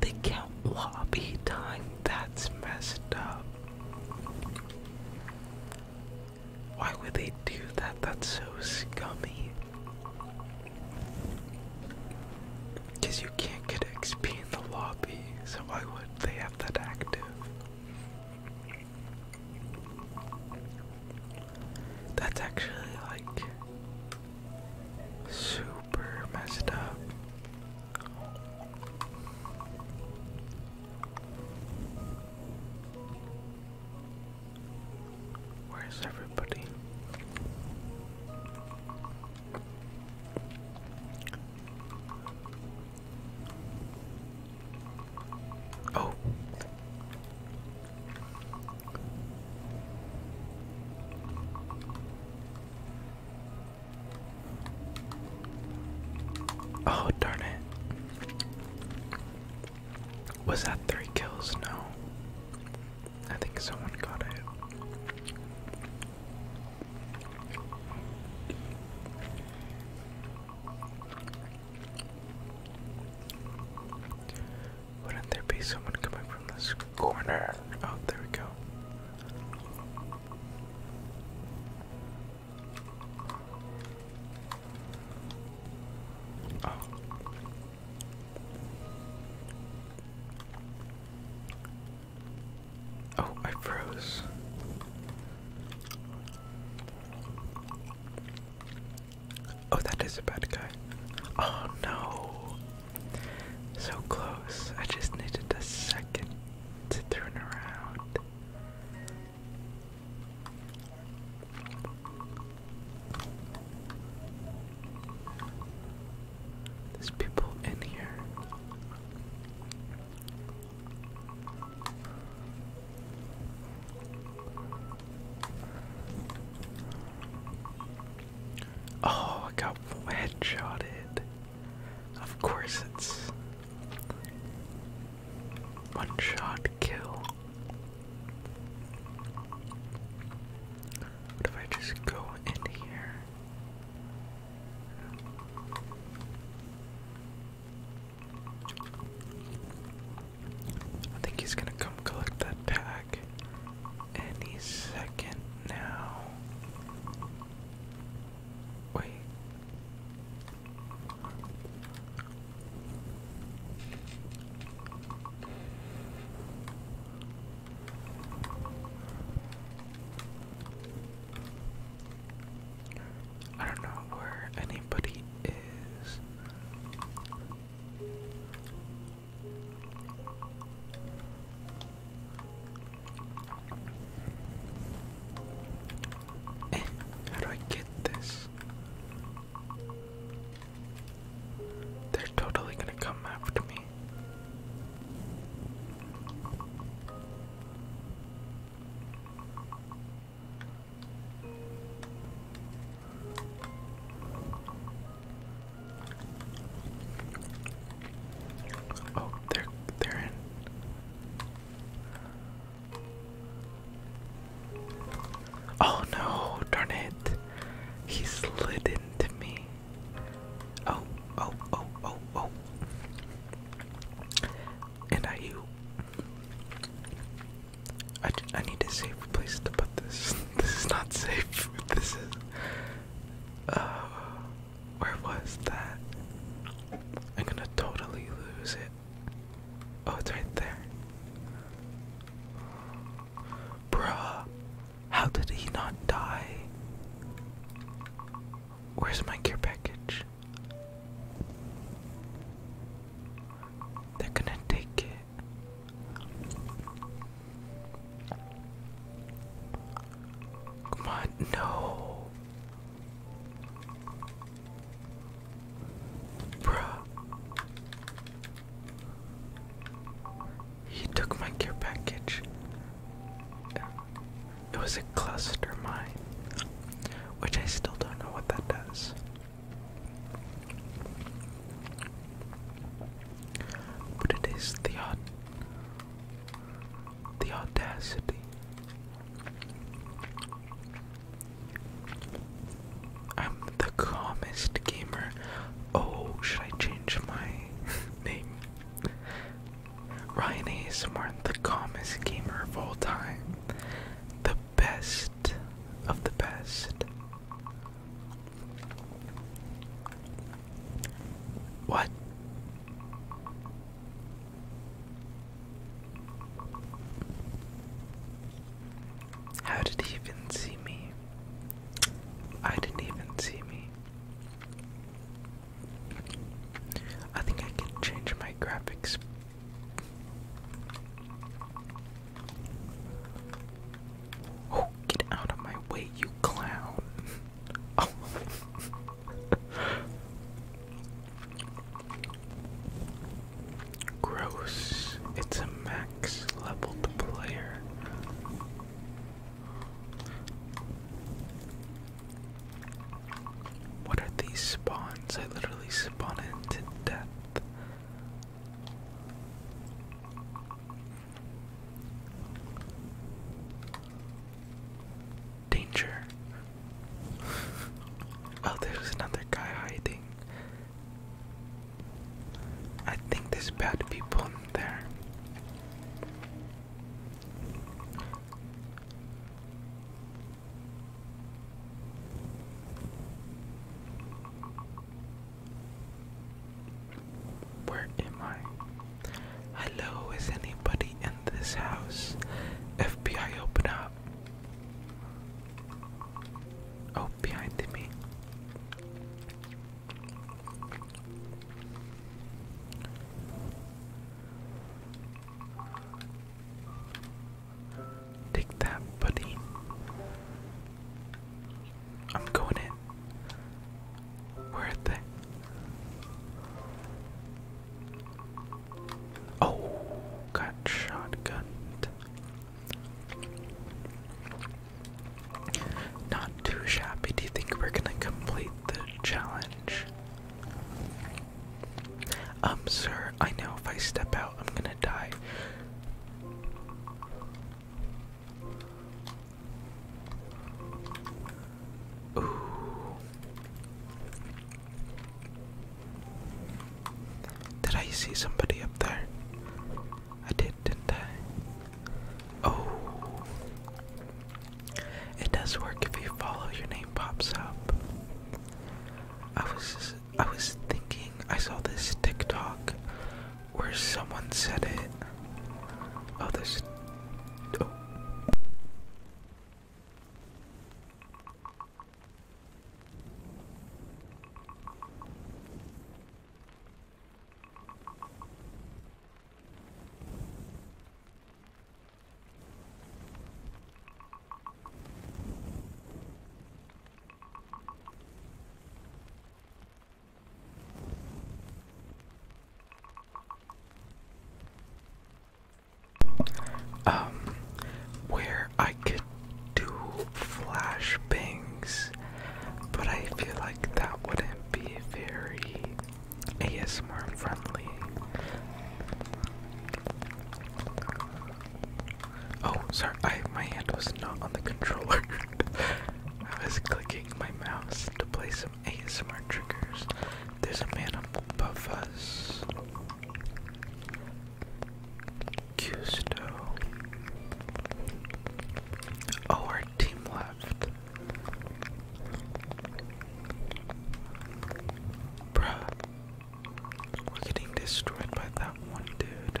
They count lobby time? That's messed up. Why would they do that? That's so scummy. Because you can't get XP in the lobby, so why would they have that active? That's actually like Super messed up. Where's everybody? Oh, Oh, darn it. Was that three kills? No. I think someone got it. Wouldn't there be someone coming from this corner? Oh, there we go. Oh. oh I froze. Oh, that is a bad guy. Oh no. So close. I just needed a second to turn around. There's people in here. Oh, I got headshotted. Of course it's one shot kill. What if I just go in here? I think he's gonna come collect that tag any second now. Wait. I don't know where anybody is. Eh, how do I get this? They're totally gonna come after me. Oh, they're they're in. Oh no, darn it. He slid into me. Oh, oh, oh, oh, oh. And I you. I, I need a safe place to put this. This is not safe. This is uh, where was that? I'm gonna totally lose it. Oh, it's right there. Bruh, how did he not die? Where's my care package? They're gonna take it. Come on, no. Bruh. He took my care package. It was a cluster mine, which I still don't know what that does. But it is the the audacity. I'm the calmest gamer. Oh, should I change my name? Ryan ASMR, the calmest gamer of all time. The best of the best. What? How did he even see me? I didn't even see me. I think I can change my graphics. Oh, get out of my way, you clown. Oh. Gross. It's a max leveled player. What are these spawns? I literally spawned into death. Danger. oh, there's another guy hiding. I think there's bad people in there. Where am I? Hello, is anybody in this house? FBI, open up. Oh, behind me. Take that, buddy. I'm going in. Where are they? Oh, got shotgunned. Not too shabby. Do you think we're gonna complete the challenge? Um, sir, I know if I step out, I'm gonna die. Did I see somebody up there? I did, didn't I? Oh. It does work if you follow your name pops up. I was I was thinking I saw this TikTok where someone said it. Oh, this. Um, where I could do flash but I feel like that wouldn't be very ASMR friendly. Oh, sorry, I my hand was not on the controller. I was clicking my mouse to play some ASMR triggers. There's a man above us. Custo. Oh, our team left. Bruh. We're getting destroyed by that one dude.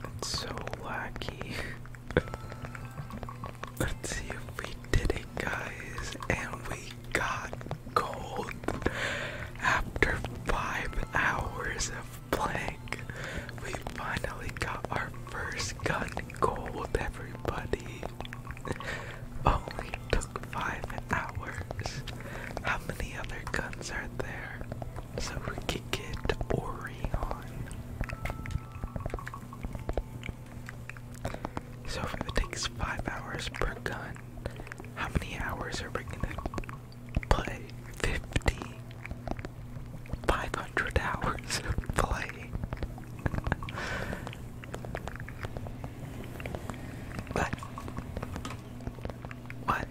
That's so lucky! Let's see if we did it, guys. And we got gold after five hours of playing. We finally got our first gun gold, everybody. Only took five hours. How many other guns are there? So we kick it, Orion. So if it takes five hours per gun, how many hours are we gonna play? 50? 500 hours of play? what? What?